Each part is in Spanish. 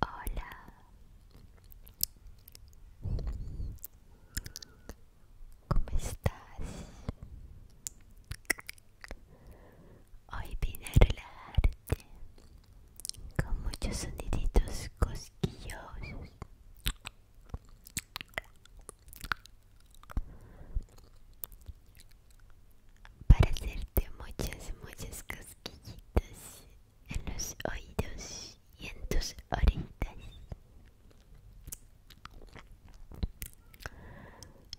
Hola. ¿Cómo estás? Hoy viene a arte con muchos soniditos cosquillosos para hacerte muchas, muchas cosquillitas en los oídos y en tus orejas.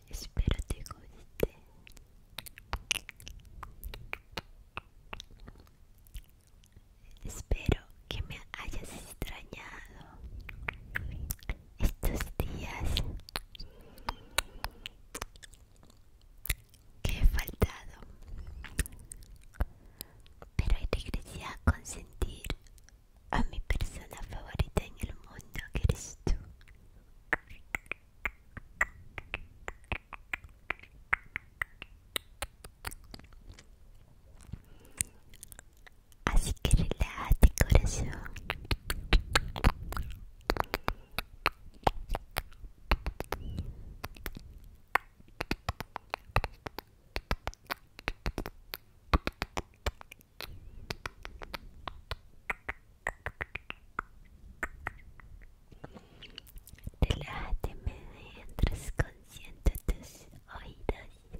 Espero te guste. Espero que me hayas extrañado estos días que he faltado, pero regresado a consentir a mi persona favorita en el mundo, que eres tú. Así que relájate corazón Relájate mientras consiento tus oídos.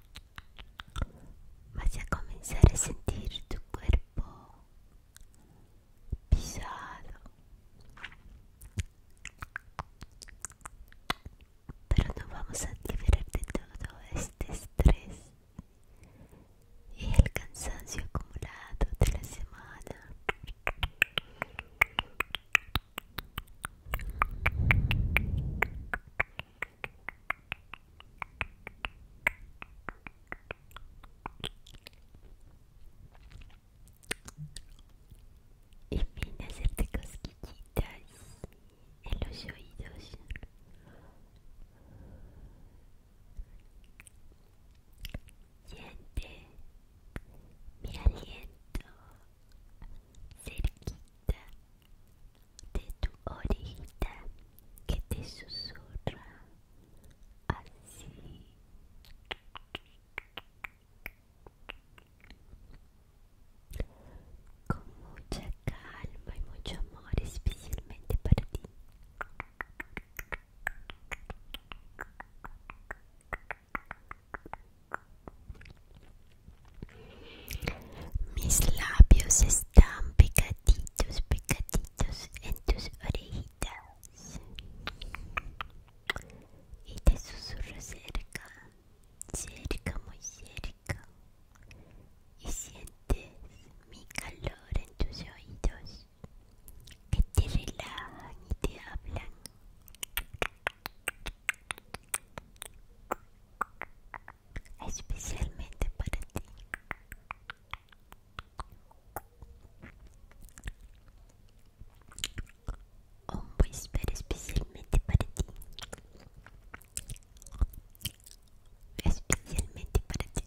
Vas a comenzar a sentir tu cuerpo pisado, pero no vamos a liberar de todo este estrés y el cansancio acumulado de la semana. Y fin a hacerte cosquillitas en los oídos. Siente mi aliento cerquita de tu orejita que te susurra así con mucha calma y mucho amor especialmente para ti mis labios están pegaditos, pegaditos en tus orejitas. Y te susurro cerca, cerca, muy cerca. Y sientes mi calor en tus oídos, que te relajan y te hablan especialmente para ti. Un whisper especialmente para ti. Especialmente para ti,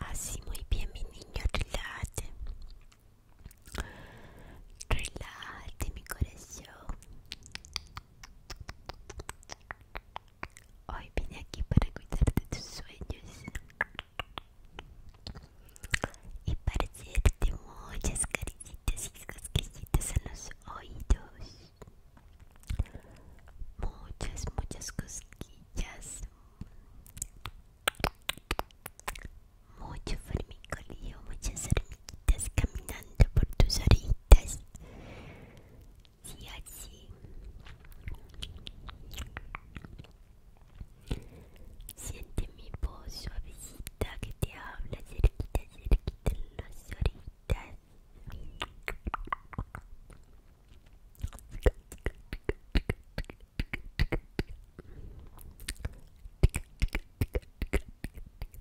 Así muy bien mi niño, relájate. Relájate mi corazón. Hoy vine aquí para cuidarte de tus sueños y para hacerte muchas caricitas y cosquillas en los oídos. Muchas, muchas cosquillas. Mucho formicolío, muchas Estás caminando por tus oritas Si, así. Siente mi voz suavecita que te habla cerquita, cerquita en las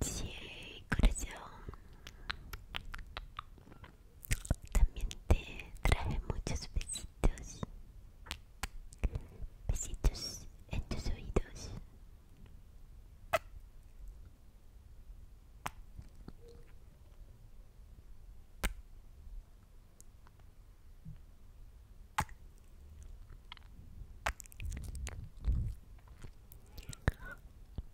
Sí, corazón. También te traje muchos besitos. Besitos en tus oídos.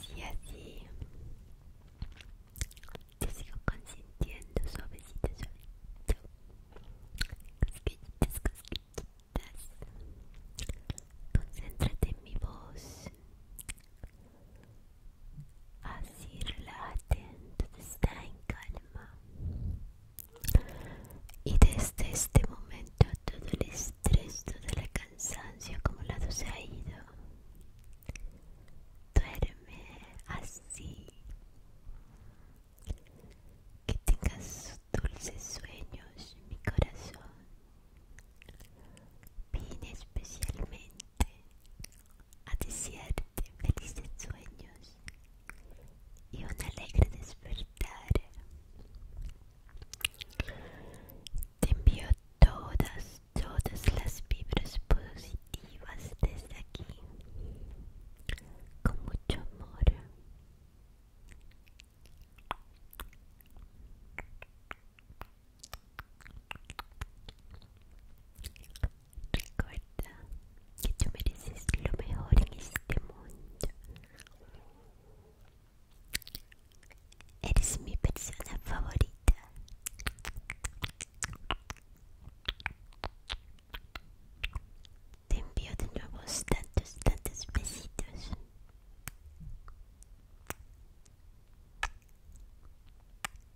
Si así te sigo consintiendo suavecito, suavecito, cosquillitas, cosquillitas, concéntrate en mi voz, Así la todo está en calma. Y desde este momento todo el estrés, toda la cansancio acumulado se ha ido. Duerme así. Que tengas dulces sueños, mi corazón. bien especialmente a desearte felices sueños y un alegre despertar. Te envío todas, todas las vibras positivas desde aquí, con mucho amor. Recuerda que tú mereces lo mejor en este mundo. Eres mi persona favorita. Te envío de nuevo tantos, tantos besitos.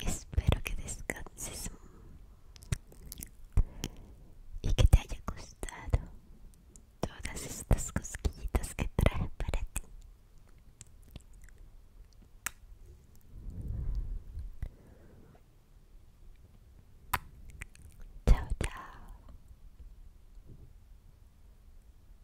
Espero que descanses y que te haya gustado todas estas cosquillitas que traje para ti. Chao, chao.